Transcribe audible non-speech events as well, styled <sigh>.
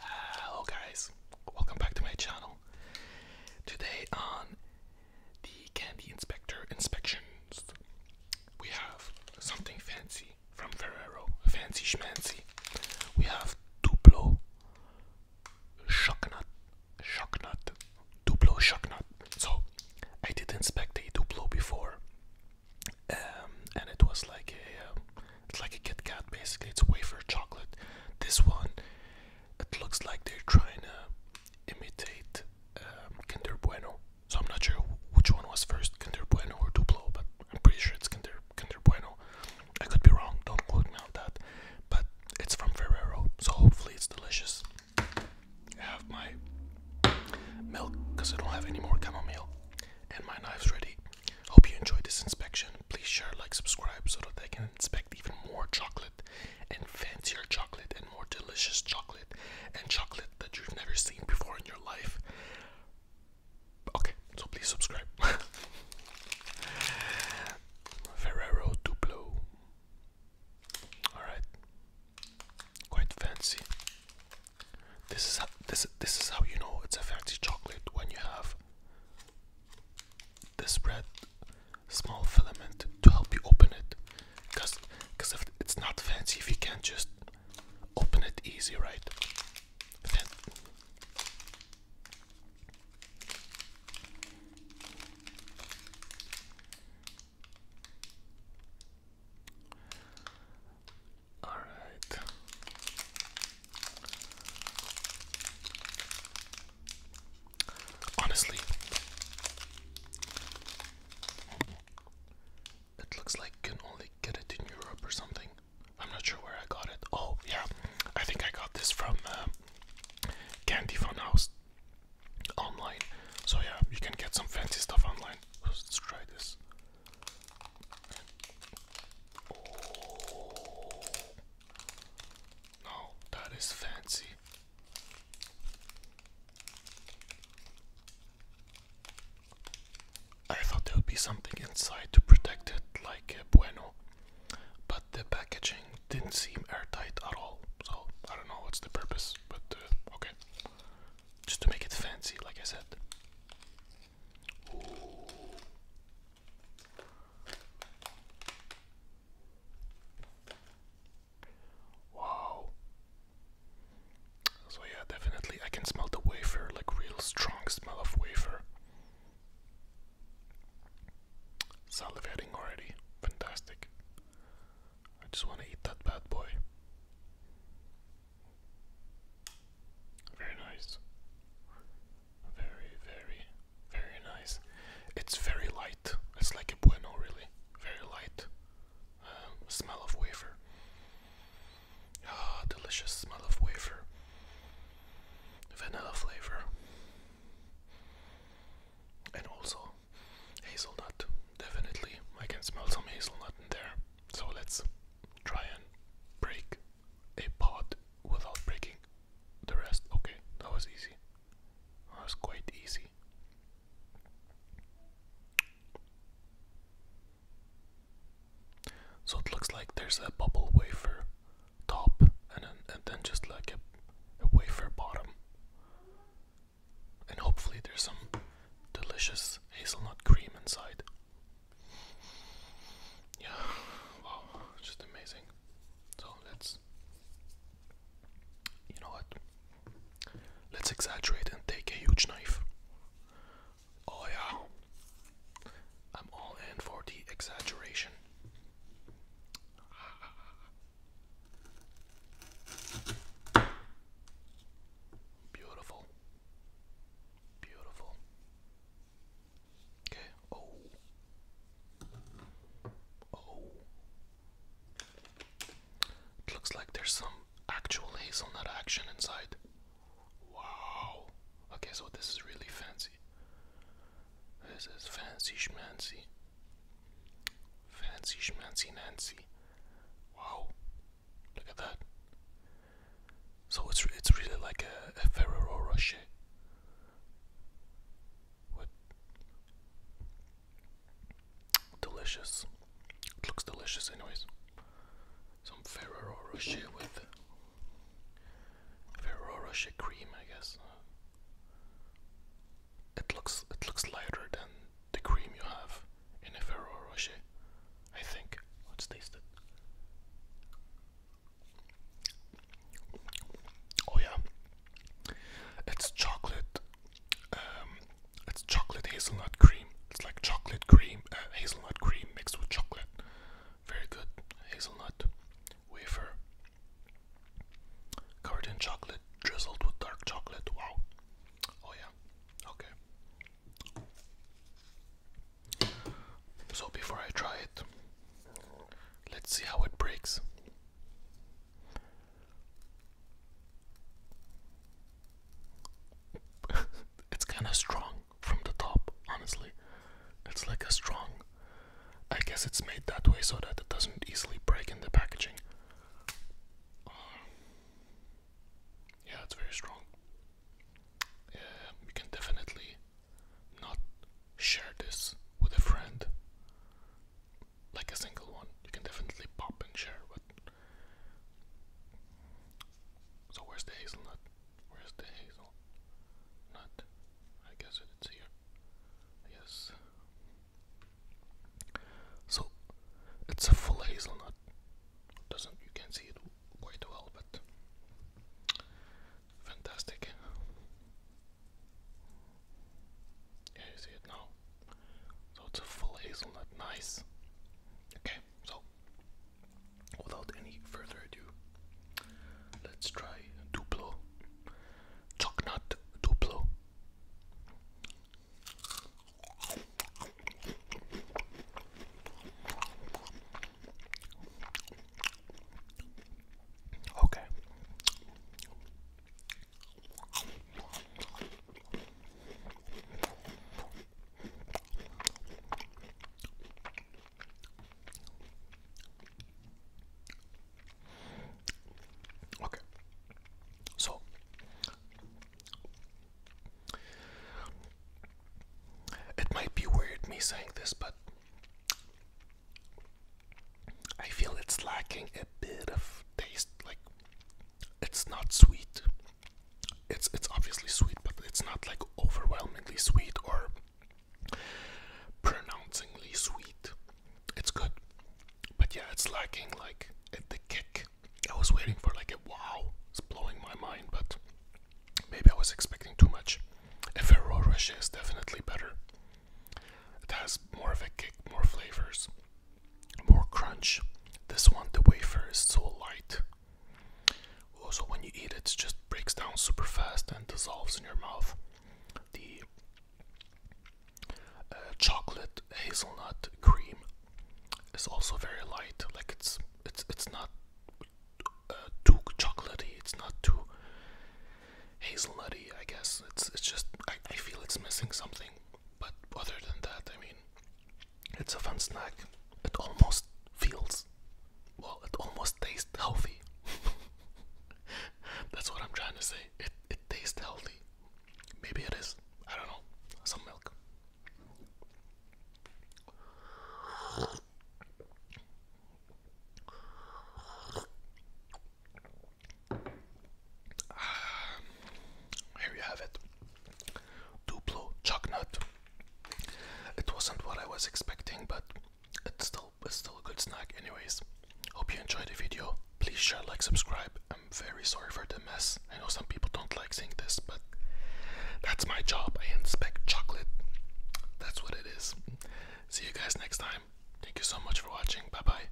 Hello guys, welcome back to my channel. Today on the Candy Inspector Inspections, we have something fancy from Ferrero, fancy schmancy. We have Duplo shock nut, shock nut, Duplo shock nut. So I didn't inspect a Duplo before, um, and it was like a, um, it's like a Kit Kat basically. It's wafer chocolate. This one, it looks like they're trying to imitate um, Kinder Bueno. So I'm not sure which one was first, Kinder Bueno or Duplo, but I'm pretty sure it's Kinder Kinder Bueno. I could be wrong. Don't quote me on that but it's from Ferrero, so hopefully it's delicious. I have my milk because I don't have any more chamomile, and my knife's ready. Hope you enjoyed this inspection. Please share, like, subscribe so that I can inspect even more chocolate and fancier chocolate and more delicious chocolate and chocolate that you've never seen before in your life. Okay, so please subscribe. <laughs> Ferrero Duplo Alright. Quite fancy. This is how, this this is how you know it's a fancy chocolate when you have this bread small filament to help you open it. Cause because if it's not fancy if you can't just open it easy, right? All right. Honestly, it looks like you can only get it in Europe or something. I'm not sure where I got it. Oh, yeah, I think I got this from um, candy funhouse online. So yeah, you can get some fancy stuff online. Let's try this. Oh. No, that is fancy. I thought there would be something inside to protect it, like uh, Bueno but the packaging didn't seem airtight at all. So I don't know what's the purpose, but uh, okay, just to make it fancy, like I said. Wow. So yeah, definitely I can smell the wafer, like real strong smell of wafer. Salivating already. Fantastic. I just want to eat that bad boy. Very nice. Very, very, very nice. It's very light. It's like a bueno, really. Very light. Um, smell of wafer. Ah, delicious smell of wafer vanilla flavor and also hazelnut. Definitely, I can smell some hazelnut in there. So let's try and break a pot without breaking the rest. Okay, that was easy. That was quite easy. So it looks like there's a bubble wafer top and then, just like a, a wafer bottom. And hopefully there's some delicious hazelnut cream inside. Yeah, wow, just amazing. So let's, you know what? Let's exaggerate and take a huge knife. Oh yeah. I'm all in for the exaggeration. Beautiful. Beautiful. Okay. Oh. Oh. It looks like there's some actual hazelnut action inside. Wow. Okay, so this is really fancy. This is fancy schmancy. Fancy schmancy Nancy. Wow. Look at that. So it's it's really like a, Ferrero Rocher. What? Delicious. looks delicious, anyways some Ferrero Rocher with Ferrero Rocher cream, I guess. It looks it looks lighter than the cream you have in a Ferrero Rocher, I think. Let's taste it. Oh yeah, it's chocolate. Um, it's chocolate hazelnut cream. It's like chocolate cream, uh, hazelnut cream mixed with chocolate very good hazelnut wafer covered in chocolate drizzled with dark chocolate wow oh yeah okay so before i try it let's see how it breaks <laughs> it's kind of strong from the top, honestly. It's like a strong. I guess it's made that way so that it doesn't easily break in the packaging. Uh, yeah, it's very strong. Yeah, you can definitely not share this with a friend, like a single one. You can definitely pop and share, but. So, where's the hazelnut? Where's the hazel? I guess it's here. Yes. So it's a full hazelnut. Doesn't you can see it quite well, but fantastic. Yeah, you see it now. So it's a full hazelnut. Nice. Okay. So, without any further ado, let's try Duplo. Chocolate Duplo. Okay. Okay. So it might be weird me saying this, but I feel it's lacking a bit of taste. Like, it's not sweet it's it's obviously sweet, but it's not like overwhelmingly sweet or pronouncingly sweet. It's good, but yeah, it's lacking like the kick. I was waiting for like a wow. It's blowing my mind, but maybe I was expecting too much. A Ferrero Rocher is definitely better. It has more of a kick, more flavors, more crunch. This one, the wafer is so light also, when you eat it, it just breaks down super fast and dissolves in your mouth. The uh, chocolate hazelnut cream is also very light. Like it's it's it's not uh, too chocolatey. It's not too hazelnutty. I guess it's it's just I, I feel it's missing something. But other than that, I mean, it's a fun snack. It almost feels, well, it almost tastes healthy. <laughs> That's what I'm trying to say. It it tastes healthy. Maybe it is. I don't know. Some milk. Um, here you have it. Duplo Chucknut. It wasn't what I was expecting, but it's still a good snack anyways. Hope you enjoyed the video. Please share, like, subscribe. I'm very sorry for the mess. I know some people don't like seeing this, but that's my job. I inspect chocolate. That's what it is. See you guys next time. Thank you so much for watching. Bye bye.